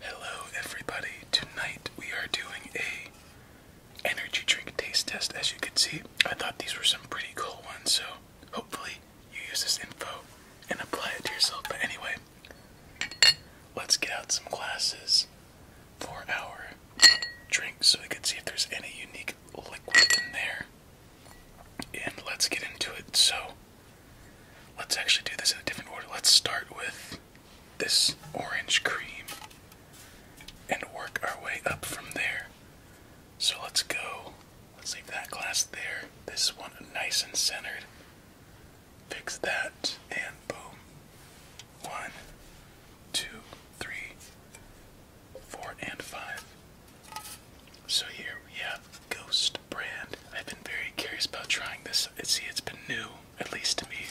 Hello everybody. Tonight we are doing a energy drink taste test. As you can see, I thought these were some pretty cool ones, so hopefully you use this info and apply it to yourself. But anyway, let's get out some glasses for our drinks so we can see if there's any unique liquid in there. And let's get into it. So Let's actually do this in a different order. Let's start with this orange cream and work our way up from there. So let's go. Let's leave that glass there. This one nice and centered. Fix that and boom. One, two, three, four, and five. So here we have Ghost brand. I've been very curious about trying this. See, it's been new, at least to me.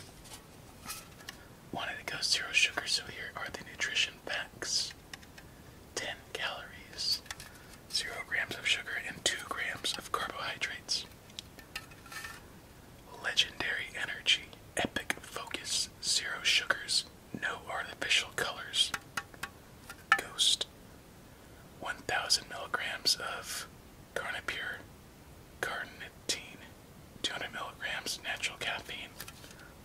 Wanted to go zero sugar, so here are the nutrition facts 10 calories, 0 grams of sugar, and 2 grams of carbohydrates. Legendary energy, epic focus, zero sugars, no artificial colors. Ghost, 1,000 milligrams of Carnipure carnitine, 200 milligrams natural caffeine,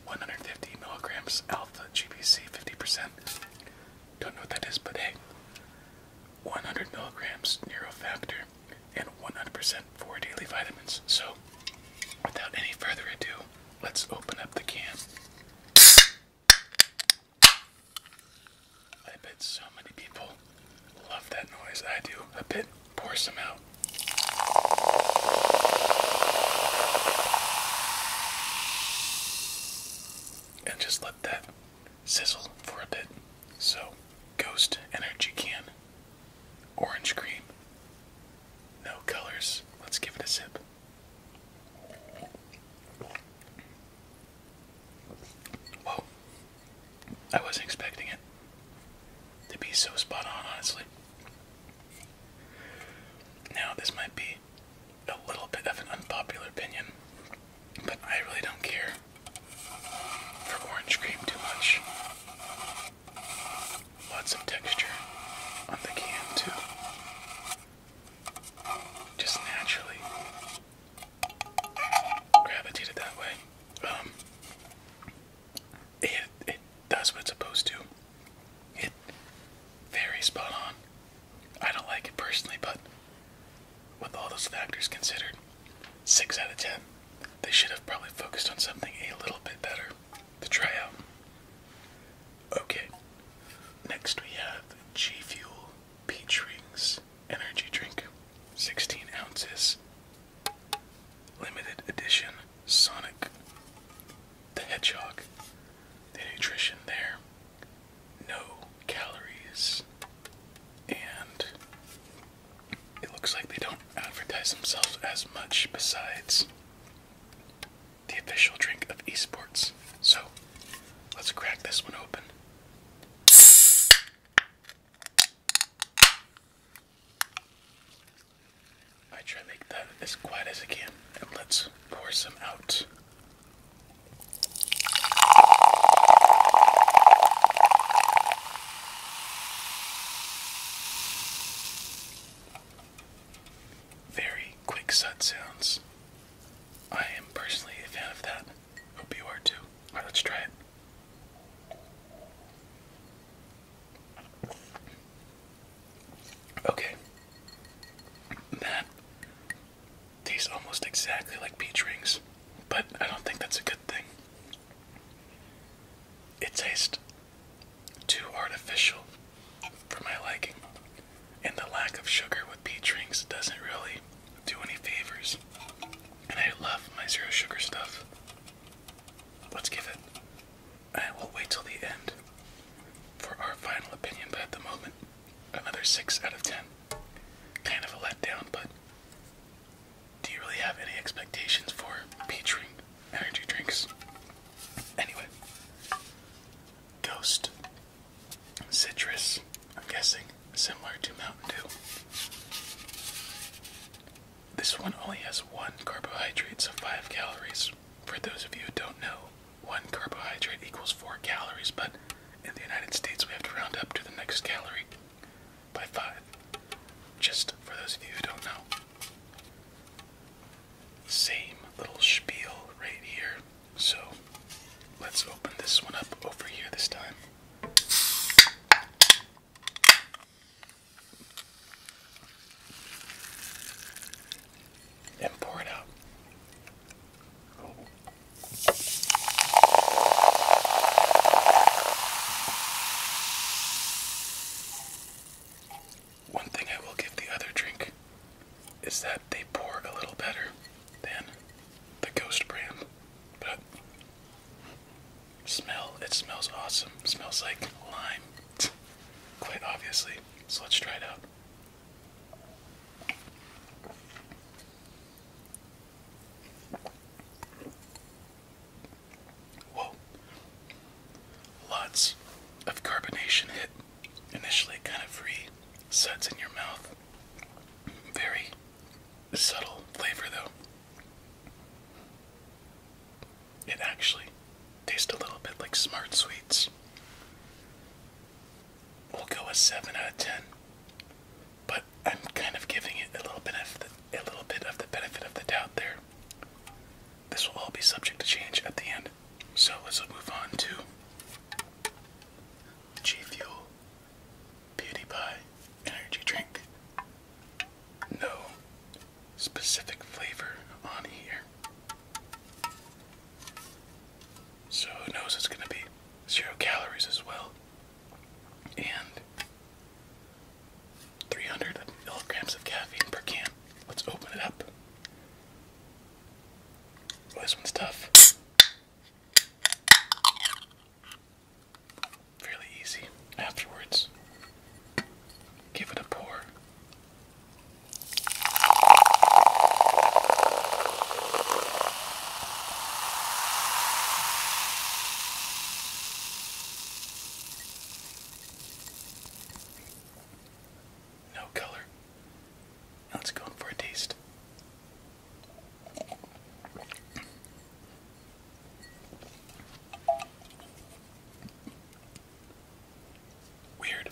150 milligrams alpha GPC 50%. Don't know what that is, but hey, 100 milligrams neurofactor and 100% four daily vitamins. So, without any further ado, let's open up the can. I bet so many people love that noise. I do. a bit. pour some out. And just let that sizzle for a bit. So, Ghost Energy Can, orange cream, no colors. Let's give it a sip. Whoa. I wasn't expecting it to be so spot on, honestly. Now, this might be a little bit of an unpopular opinion, but I really don't care for orange cream too much. Lots of texture on the can, too. Just naturally gravitated that way. Um, it it what it's supposed to. It very spot on. I don't like it personally, but with all those factors considered, six out of ten. They should have probably focused on something a little bit better to try out. Okay. Next we have G Fuel Peach Rings energy drink, 16 ounces, limited edition Sonic the Hedgehog. The nutrition there, no calories, and it looks like they don't advertise themselves as much besides the official drink of esports. So let's crack this one open I try to make that as quiet as I can, and let's pour some out. Very quick sud sounds. I am personally a fan of that. Hope you are too. right, let's try it. Okay. That tastes almost exactly like peach rings, but I don't think that's a good thing. It tastes too artificial for my liking, and the lack of sugar with drinks, doesn't really do any favors. And I love my zero sugar stuff. Let's give it. I will wait till the end for our final opinion, but at the moment, another 6 out of 10. Kind of a letdown, but do you really have any expectations for featuring energy drinks? Anyway, Ghost Citrus, I'm guessing, similar to Mountain Dew. This one only has one carbohydrate, so 5 calories. For those of you who don't know, one carbohydrate equals 4 calories, but in the United States we have to round up to the next calorie by 5. Just for those of you who don't know. Same little spiel right here. So let's open this one up over here this time and pour it out. One thing I will give the other drink is that they pour a little better than the Ghost brand. But smell, it smells awesome. smells like lime, quite obviously. So let's try it out. Whoa. Lots of carbonation hit initially kind of resets in your mouth. Very subtle flavor though. It actually tastes a little bit like smart sweets. We'll go a seven out of ten, but I'm kind of giving it a little bit of the, a little bit of the benefit of the doubt there. This will all be subject to change at the end, so let's move on to G Fuel Beauty Pie energy drink. No specific flavor on here. So who knows it's gonna be zero calories as well. And 300 milligrams of caffeine per can. Let's open it up. this one's tough fairly easy afterwards. Give it a pour. No color. let's go for a taste. Weird.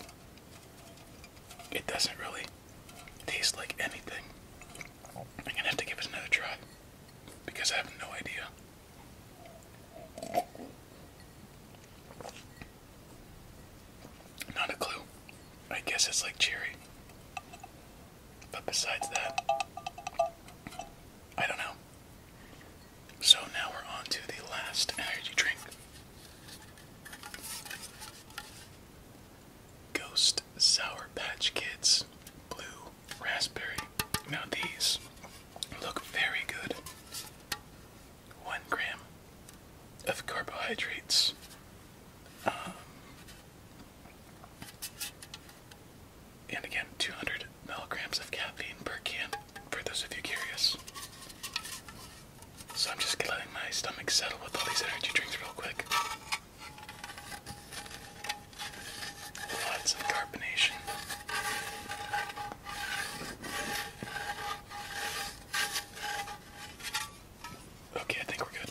It doesn't really taste like anything. I'm gonna have to give it another try because I have no idea. Not a clue. I guess it's like cherry. But besides that, I don't know. So now we're on to the last energy drink Ghost Sour Patch Kids Blue Raspberry. Now these look very good. One gram of carbohydrates. Um, and again, 200 milligrams of caffeine per can, for those of you curious. So I'm just letting my stomach settle with all these energy drinks real quick. Lots of carbonation. Okay, I think we're good.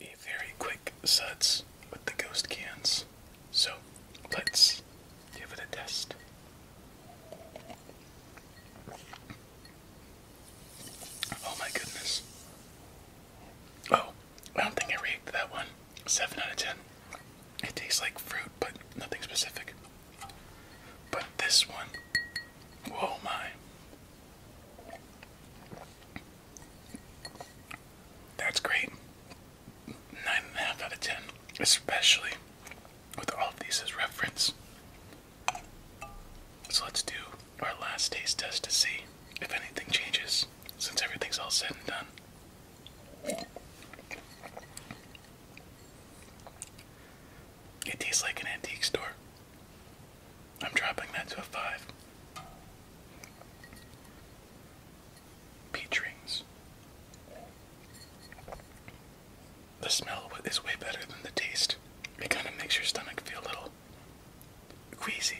A very quick suds with the ghost cans. So let's give it a test. Oh my goodness. Oh, I don't think I rated that one. 7 out of 10. It tastes like fruit, but nothing specific. But this one, oh my. That's great. 9.5 out of 10, especially with all of these as reference. So let's do our last taste test to see if anything changes since everything's all said and done. It tastes like an antique store. I'm dropping that to a 5. Peach rings the smell is way better than the taste. It kind of makes your stomach feel a little queasy.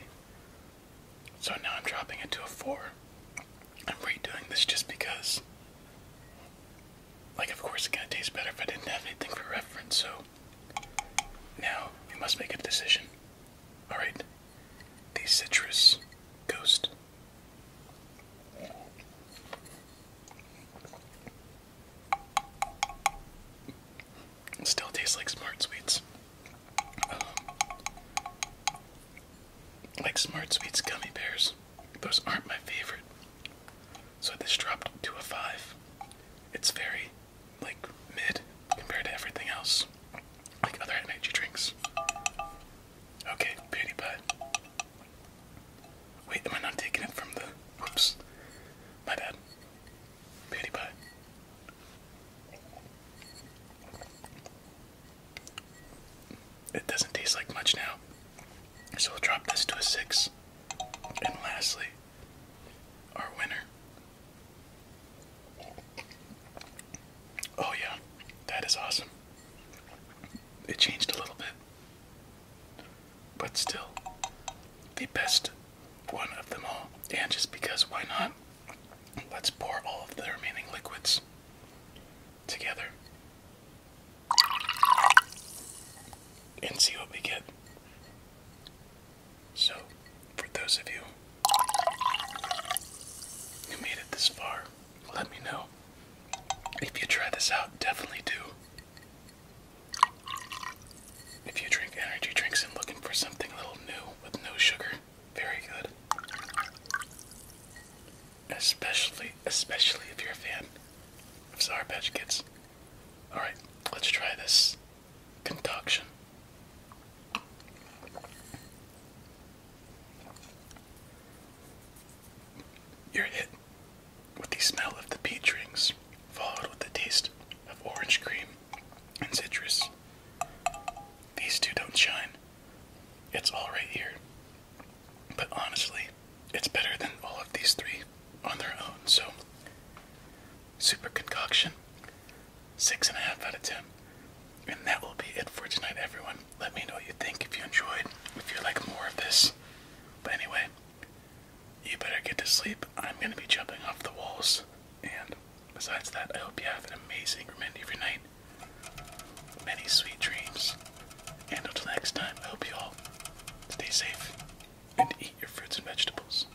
So now I'm dropping it to a 4. I'm redoing this just because. Like, of course, it kind of tastes better if I didn't have anything for reference, so. Now, we must make a decision. Alright. The citrus ghost. It still tastes like Smart Sweets. Um, like Smart Sweets gummy bears. Those aren't my favorite. So this dropped to a 5. It's very, like, mid compared to everything else. Like other energy drinks. Okay, PewDiePie. Wait, am I not taking it from the. Whoops. My bad. Beauty pie. It doesn't taste like much now. So we'll drop this to a 6. And lastly, our winner. Oh, yeah, that is awesome. It changed a little bit but still the best one of them all. And just because, why not? Let's pour all of the remaining liquids together and see what we get. So, for those of you who made it this far, let me know. If you try this out, definitely do. If you drink energy drinks and looking for something a little new with no sugar, very good. Especially, especially if you're a fan of Sour Patch Kids. Alright, let's try this concoction. You're hit with the smell of the peach rings, followed with the taste of orange cream and citrus. These two don't shine. It's all right here. But honestly, it's better than all of these three on their own, so super concoction. Six and a half out of ten. And that will be it for tonight, everyone. Let me know what you think if you enjoyed, if you like more of this. But anyway, you better get to sleep. I'm going to be jumping off the walls. And besides that, I hope you have an amazing remainder of your night. Many sweet dreams. And until next time, I hope you all stay safe and eat your fruits and vegetables.